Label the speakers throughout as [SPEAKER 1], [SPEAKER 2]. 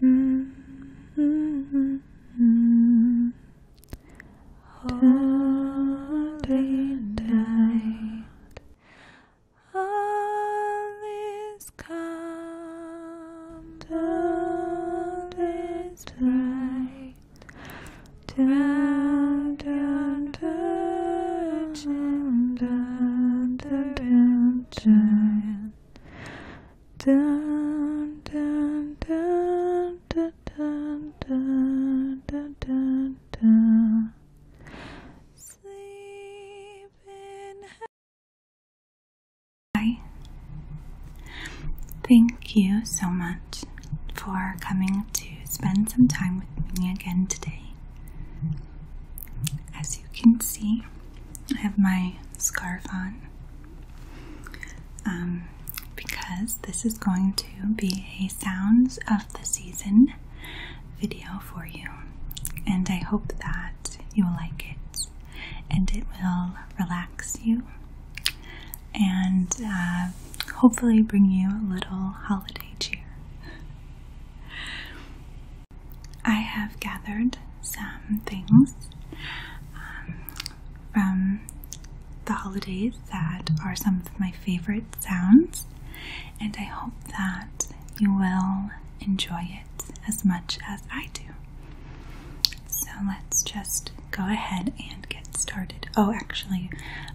[SPEAKER 1] Mm -hmm. all is calm, all is bright. Dun, dun, dun, dun, dun, dun, dun, dun, dun, dun, dun, dun, dun, dun, dun. Sleep in Hi. Thank you so much for coming to spend some time with me again today. As you can see, I have my scarf on um, because this is going to be a sounds of the season video for you, and I hope that you'll like it and it will relax you and uh, hopefully bring you a little holiday cheer. I have gathered some things um, from the holidays that are some of my favorite sounds, and I hope that you will enjoy it as much as I do. So let's just go ahead and get started. Oh, actually,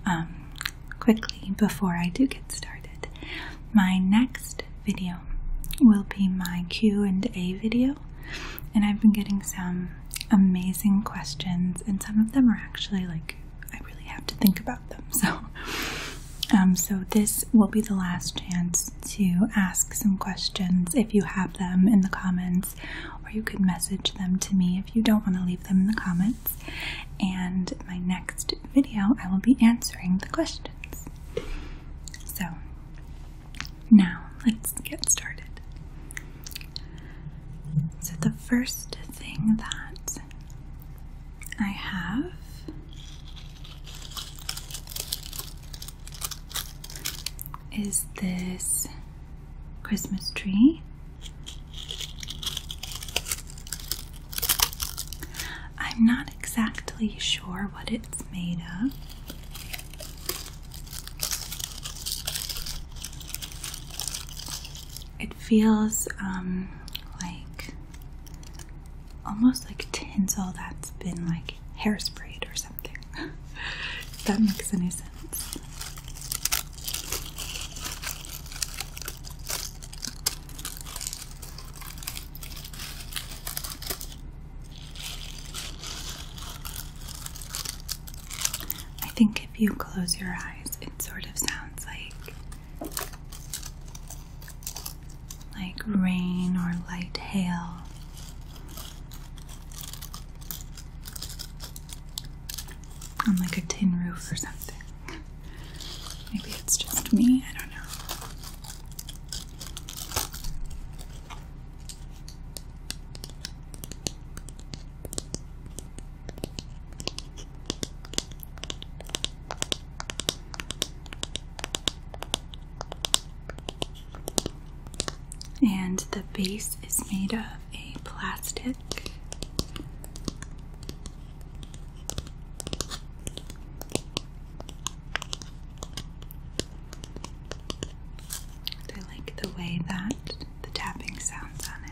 [SPEAKER 1] um, quickly before I do get started. My next video will be my Q&A video and I've been getting some amazing questions and some of them are actually like I really have to think about them so um, so this will be the last chance to ask some questions if you have them in the comments or you could message them to me if you don't want to leave them in the comments and my next video I will be answering the questions. So, now let's get started. So, the first thing that I have is this Christmas tree. I'm not exactly sure what it's made of. It feels um, like almost like tinsel that's been like hairsprayed or something. if that makes any sense. I think if you close your eyes, it sort of sounds like like rain or light hail on like a tin roof or something. Maybe it's just me, I don't know. And the base is made of a plastic I like the way that the tapping sounds on it.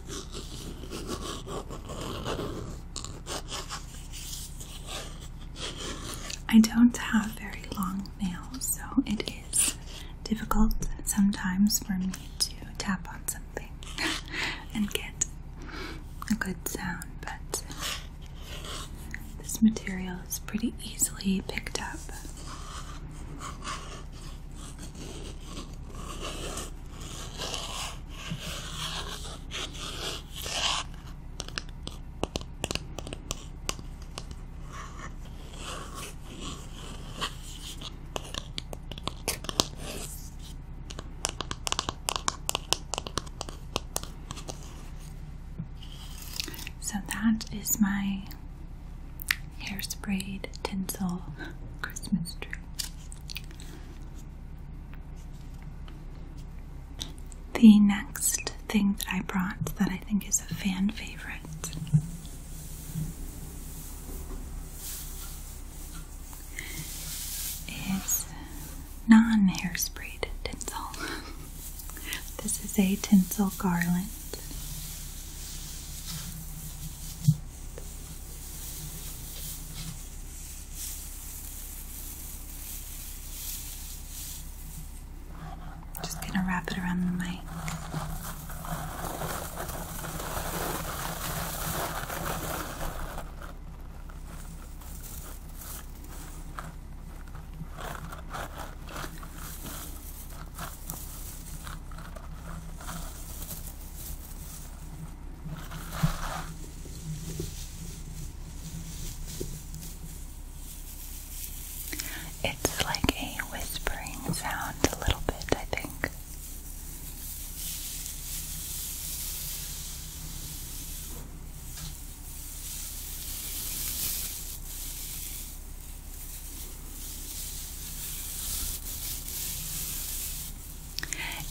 [SPEAKER 1] I don't have very long nails, so it is difficult sometimes for me to tap on something and get a good sound, but this material is pretty easily picked up. So that is my hair sprayed tinsel Christmas tree. The next thing that I brought that I think is a fan favorite is non hairspray tinsel. this is a tinsel garland. Just gonna wrap it around the mic. It's like a whispering sound, a little bit, I think.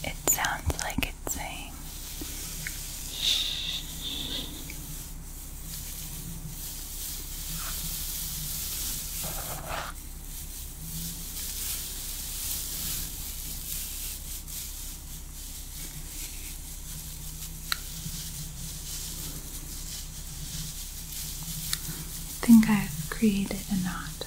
[SPEAKER 1] It sounds like it's saying shh. I think I've created a knot.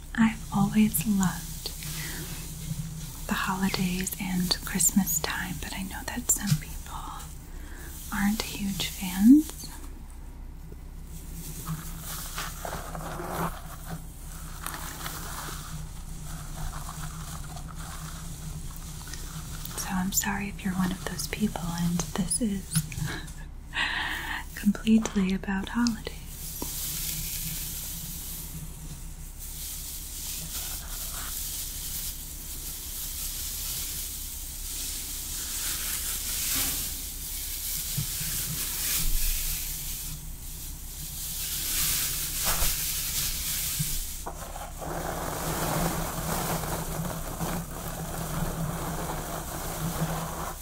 [SPEAKER 1] I've always loved the holidays and Christmas time, but I know that some people aren't huge fans. So I'm sorry if you're one of those people and this is completely about holidays.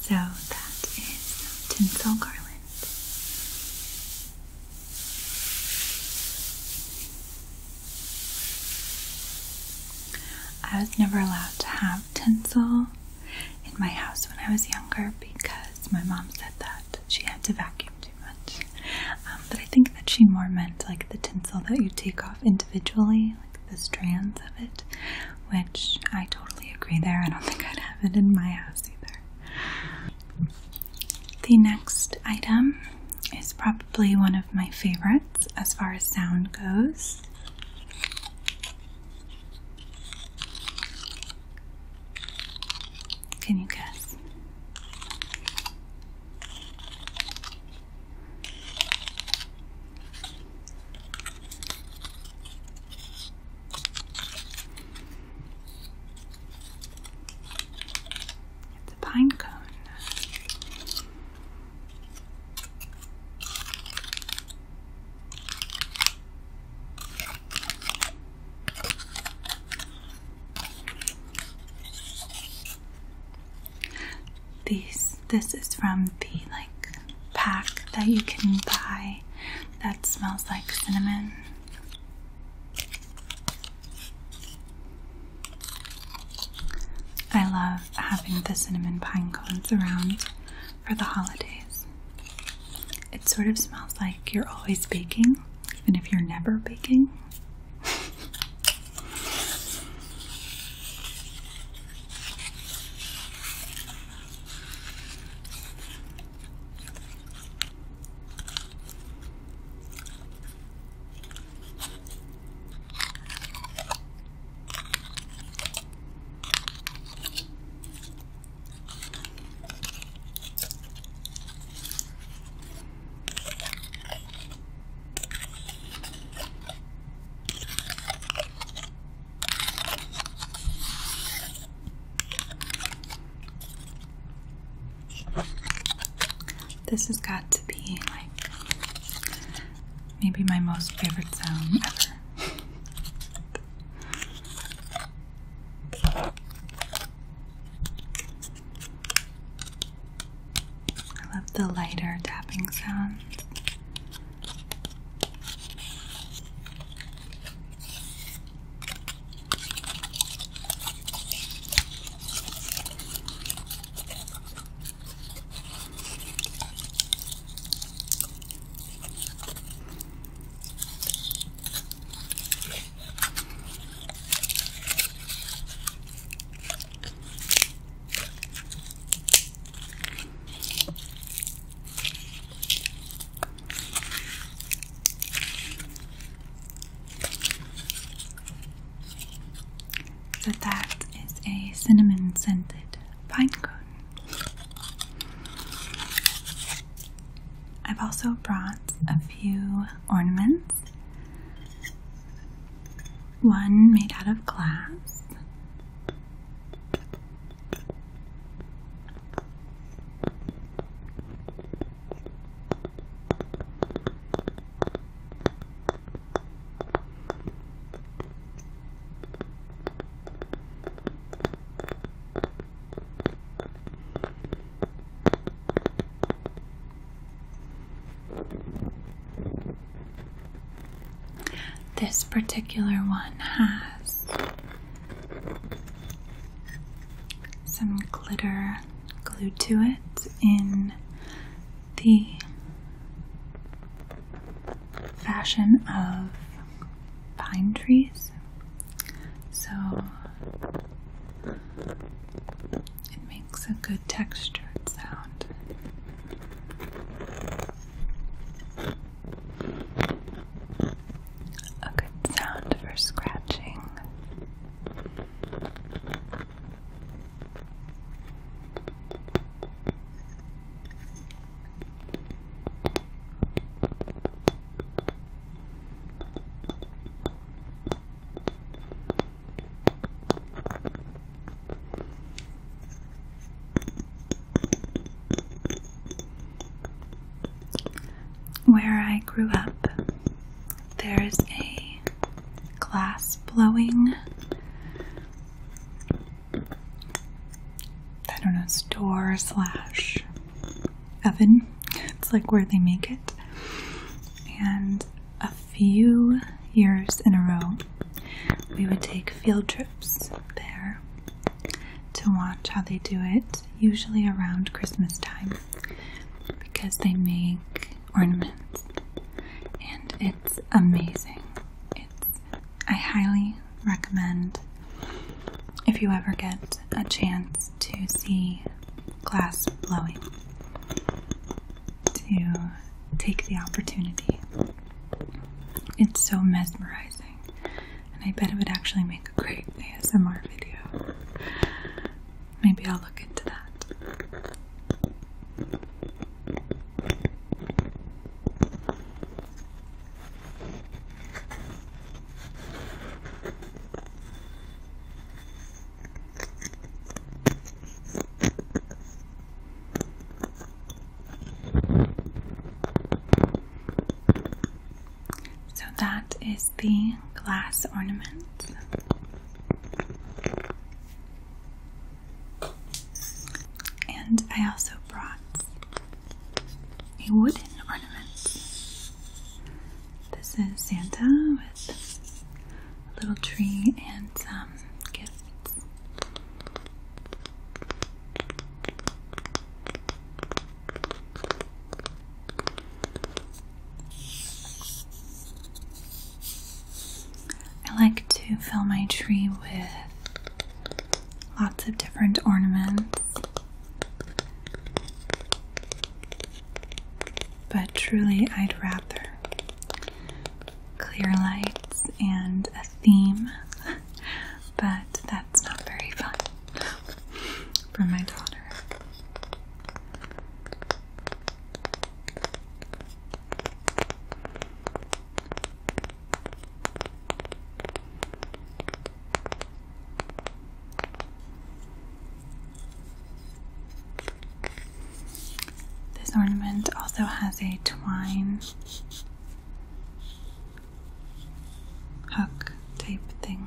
[SPEAKER 1] So that is tinsel garland. I was never allowed to have tinsel in my house when I was younger because my mom said that she had to vacuum um, but I think that she more meant like the tinsel that you take off individually, like the strands of it, which I totally agree there. I don't think I'd have it in my house either. The next item is probably one of my favorites as far as sound goes. Can you guess? It's a pine cone. These this is from the like pack that you can buy that smells like cinnamon. I love having the cinnamon pine cones around for the holidays. It sort of smells like you're always baking, even if you're never baking. This has got to be like maybe my most favorite song ever. I love the lighter tapping sound. So that is a cinnamon scented pine cone. I've also brought a few ornaments. One made out of glass. This particular one has some glitter glued to it in the fashion of pine trees so it makes a good textured sound. A good sound for scratching. Where I grew up, there's a glass blowing I don't know store slash oven. It's like where they make it. And a few years in a row, we would take field trips there to watch how they do it, usually around Christmas time, because they make ornaments. And it's amazing. It's I highly recommend if you ever get a chance to see glass blowing to take the opportunity. It's so mesmerizing, and I bet it would actually make a great ASMR video. Maybe I'll look into that. So that is the glass ornament. And I also brought a wooden ornament. This is Santa with a little tree and some gifts. I like to fill my tree with lots of different ornaments but truly, I'd rather clear lights and a theme, but that's not very fun for my daughter. This ornament also has a twine hook type thing.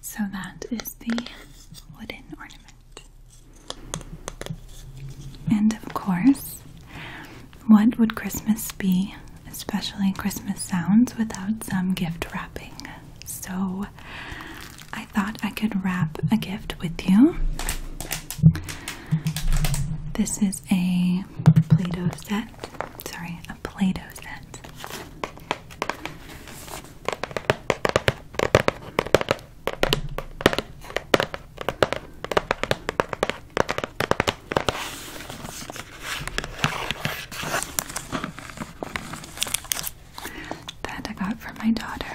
[SPEAKER 1] So that is the wooden ornament. And of course, what would Christmas be, especially Christmas sounds, without some gift wrapping? So I thought I could wrap a gift with you. This is a Play-Doh set. Sorry, a Play-Doh set. That I got for my daughter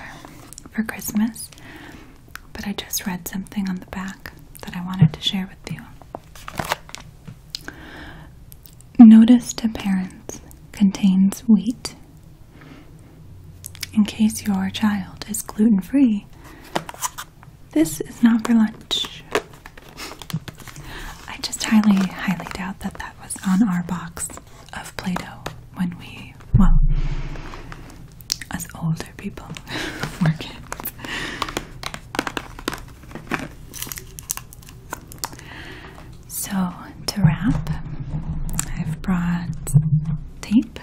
[SPEAKER 1] for Christmas but I just read something on the back that I wanted to share with you. Notice to parents contains wheat. In case your child is gluten free, this is not for lunch. I just highly, highly doubt that that was on our box of Play Doh when we, well, as older people were kids. So, to wrap, I've brought tape.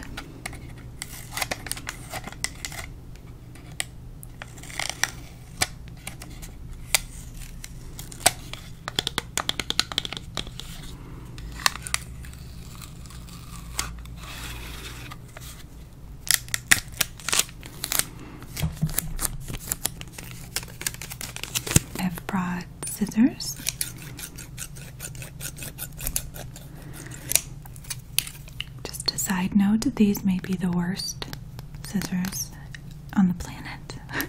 [SPEAKER 1] I've brought scissors just a side note these may be the worst scissors on the planet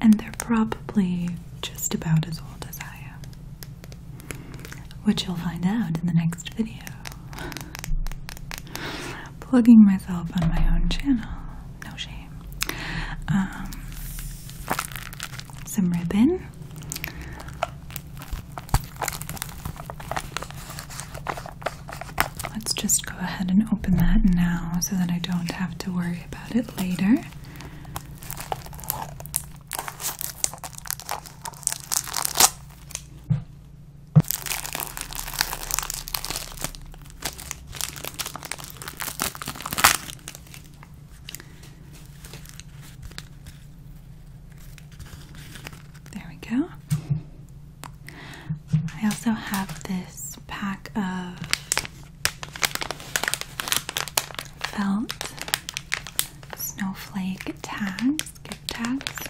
[SPEAKER 1] and they're probably just about as old as I am which you'll find out in the next video. Plugging myself on my own channel, no shame. Um, some ribbon. Let's just go ahead and open that now so that I don't have to worry about it later. There we go. I also have this pack of felt snowflake tags gift tags.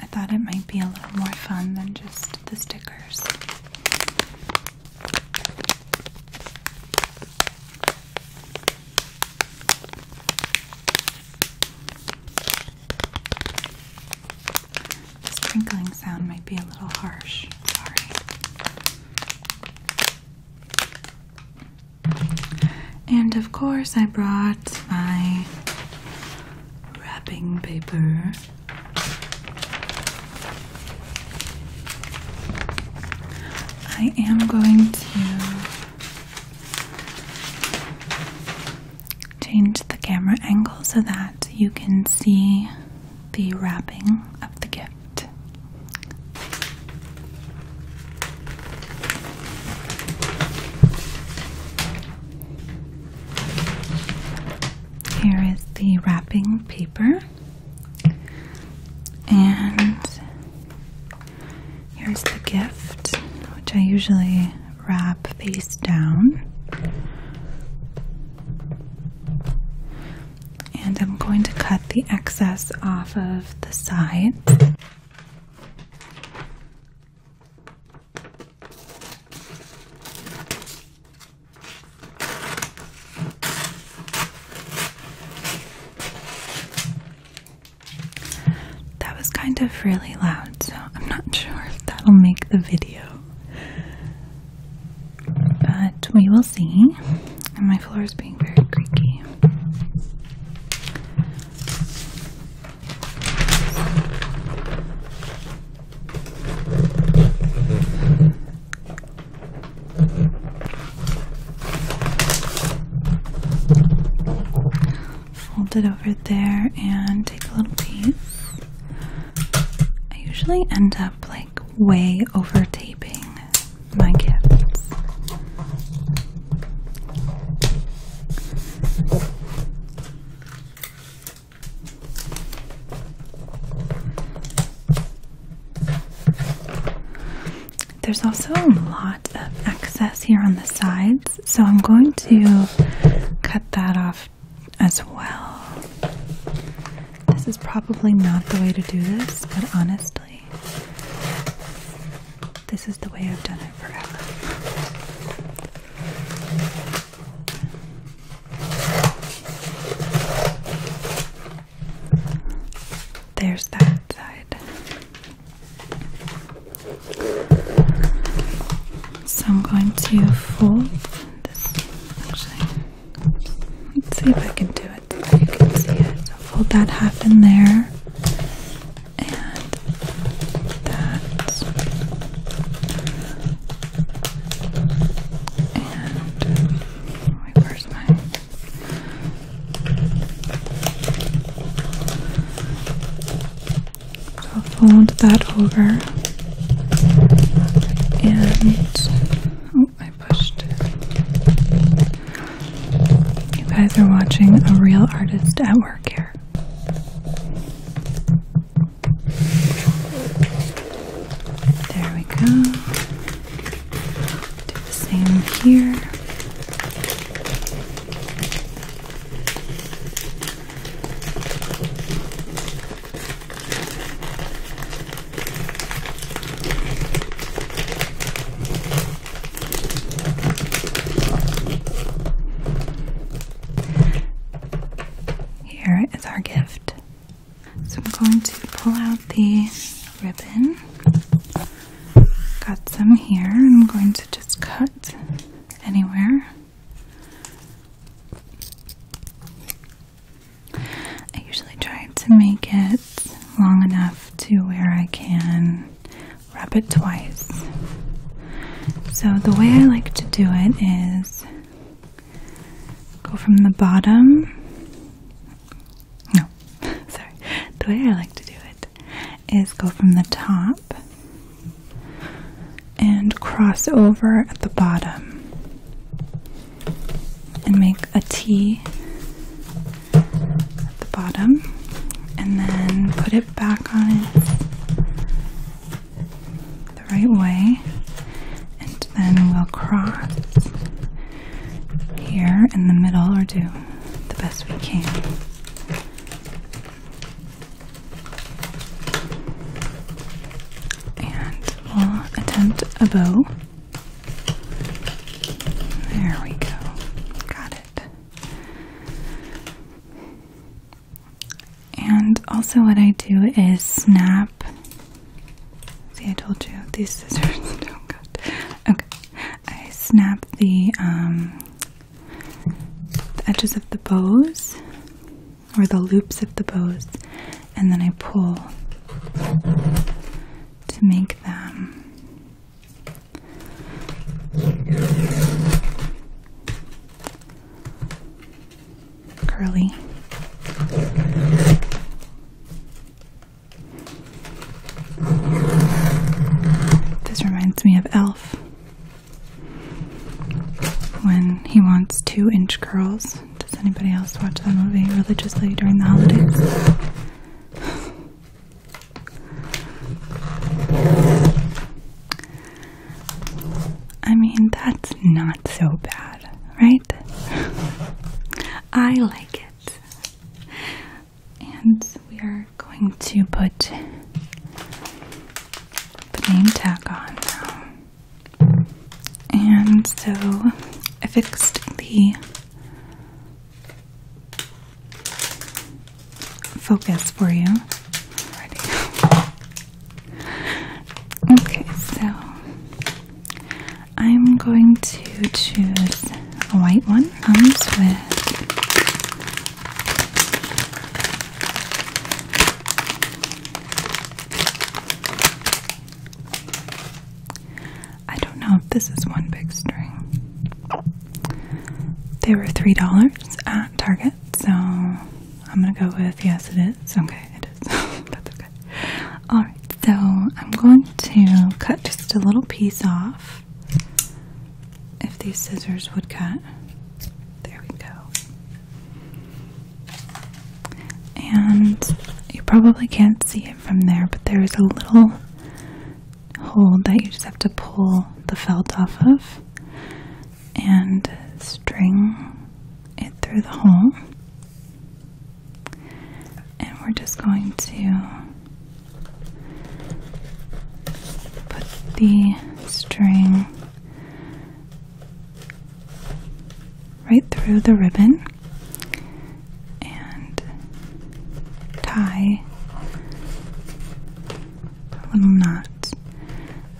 [SPEAKER 1] I thought it might be a little more fun than just the stickers. The sprinkling sound might be a little harsh. Sorry. And of course, I brought my wrapping paper. I am going to change the camera angle so that you can see the wrapping of the gift. Here is the wrapping paper, and here's the gift, which I usually wrap face down and I'm going to cut the excess off of the side. That was kind of really loud, so I'm not sure if that'll make the video but we will see. And my floor is being very creaky. Fold it over there and take a little piece. I usually end up like way over taping my gifts. There's also a lot of excess here on the sides, so I'm going to cut that off as well. This is probably not the way to do this, but honestly. This is the way I've done it forever. There's that side. So I'm going to fold this actually. Let's see if I can do it so you can see it. fold that half in there and that and wait, where's fold that over and I pushed. You guys are watching a real artist at work here. There we go. Do the same here. Here is our gift. So I'm going to pull out the ribbon. Got some here, I'm going to just cut anywhere. I usually try to make it long enough to where I can wrap it twice. So the way I like to do it is go from the bottom. No, sorry. The way I like to do it is go from the top and cross over at the bottom and make a T at the bottom and then put it back on it the right way and then we'll cross here in the middle or do the best we can. And we'll attempt a bow. There we go. Got it. And also, what I do is snap. See, I told you these scissors don't cut. Okay, I snap the, um, the edges of the bows or the loops of the bows, and then I pull to make them curly. This reminds me of Elf when he wants two inch curls. Does anybody else watch that movie religiously during the holidays? I mean, that's not so bad, right? I like it. And we are going to put the name tag on now. And so I fixed the focus for you. Okay, so I'm going to choose a white one. Comes with I don't know if this is one big string. They were $3 at Target, so I'm gonna go with yes, it is. Okay, it is. That's okay. Alright, so I'm going to cut just a little piece off. If these scissors would cut. There we go. And you probably can't see it from there, but there is a little hole that you just have to pull the felt off of and string it through the hole. And we're just going to put the string right through the ribbon and tie a little knot.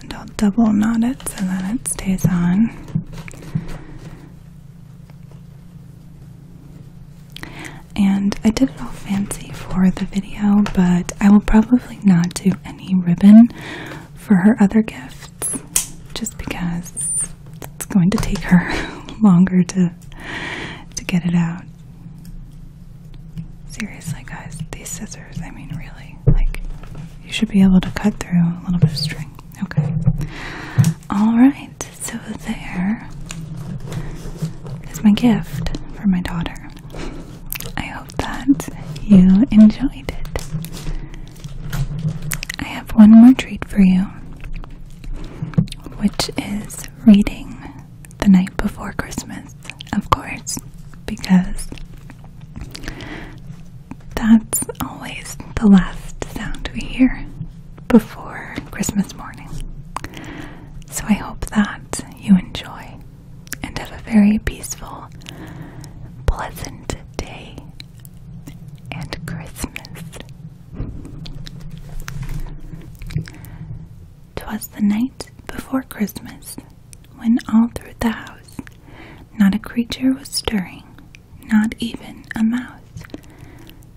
[SPEAKER 1] And I'll double knot it so that it stays on. And I did it all fancy for the video, but I will probably not do any ribbon for her other gifts just because it's going to take her longer to to get it out. Seriously, guys, these scissors, I mean, really, like, you should be able to cut through a little bit of string. Okay. Alright, so there is my gift for my daughter. I hope that you enjoyed it. I have one more treat for you which is reading the night before Christmas, of course, because that's always the last sound we hear before Christmas morning. So I hope that you enjoy and have a very peaceful, pleasant day and Christmas Twas the night before Christmas, when all through the house not a creature was stirring, not even a mouse.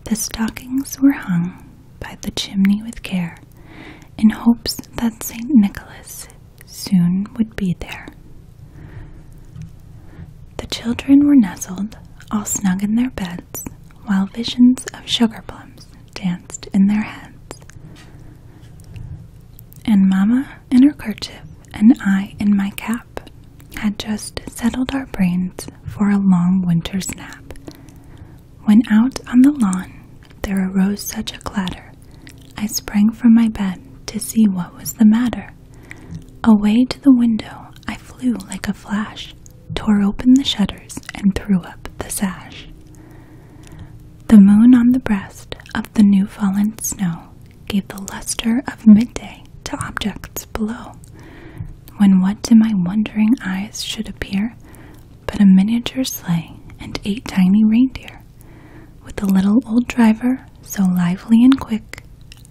[SPEAKER 1] The stockings were hung by the chimney with care, in hopes that St. Nicholas soon would be there. The children were nestled, all snug in their beds, while visions of sugar plums danced in their heads. And Mamma in her kerchief and I in my cap had just settled our brains for a long winter's nap, when out on the lawn there arose such a clatter, I sprang from my bed to see what was the matter. Away to the window I flew like a flash, tore open the shutters, and threw up the sash. The moon on the breast of the new fallen snow gave the luster of midday to objects below, when what to my wondering eyes should appear but a miniature sleigh and eight tiny reindeer, with a little old driver so lively and quick,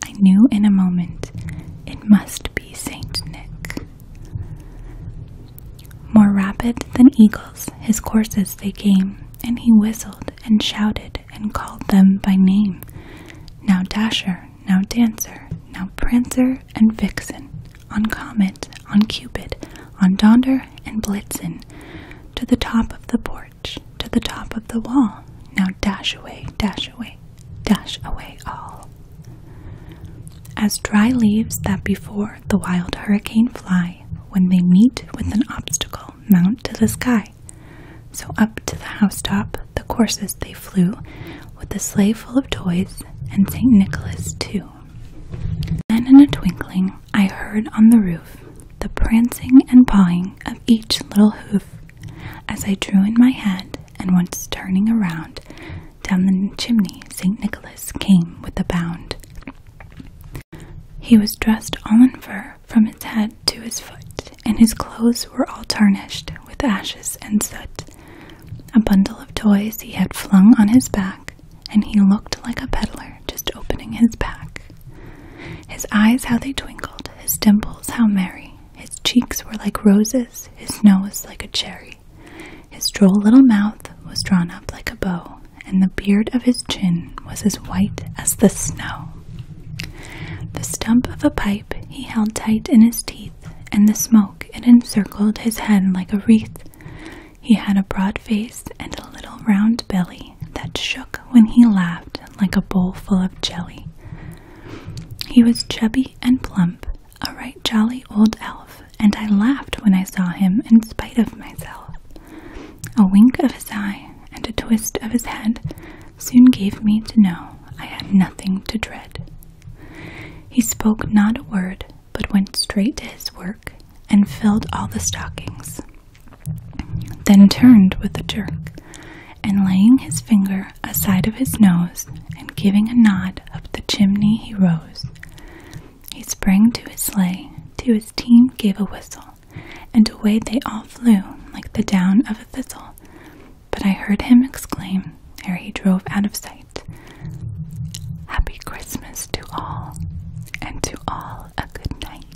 [SPEAKER 1] I knew in a moment it must be Saint Nick. More rapid than eagles his courses they came, and he whistled and shouted and called them by name. Now Dasher, now Dancer, now Prancer and Vixen, on Comet, on Cupid, on Donder and Blitzen, to the top of the porch, to the top of the wall. Now dash away, dash away, dash away all. As dry leaves that before the wild hurricane fly, when they meet with an obstacle, mount to the sky. So up to the housetop the courses they flew, with a sleigh full of toys, and St. Nicholas too. Then in a twinkling I heard on the roof the prancing and pawing of each little hoof. As I drew in my hand and once turning around down the chimney, St. Nicholas came with a bound. He was dressed all in fur from his head to his foot, and his clothes were all tarnished with ashes and soot. A bundle of toys he had flung on his back, and he looked like a peddler just opening his pack. His eyes, how they twinkled, his dimples, how merry, his cheeks were like roses, his nose like a cherry. His droll little mouth was drawn up like a bow, and the beard of his chin was as white as the snow. The stump of a pipe he held tight in his teeth, and the smoke it encircled his head like a wreath. He had a broad face and a little round belly that shook when he laughed like a bowl full of jelly. He was chubby and plump, a right jolly old elf, and I laughed when I saw him in spite of myself. A wink of his eye and a twist of his head soon gave me to know I had nothing to dread. He spoke not a word, but went straight to his work and filled all the stockings, then turned with a jerk, and laying his finger finger a side of his nose, and giving a nod up the chimney he rose. He sprang to his sleigh, to his team gave a whistle, and away they all flew like the down of a thistle. But I heard him exclaim ere he drove out of sight, Happy Christmas to all, and to all a good night.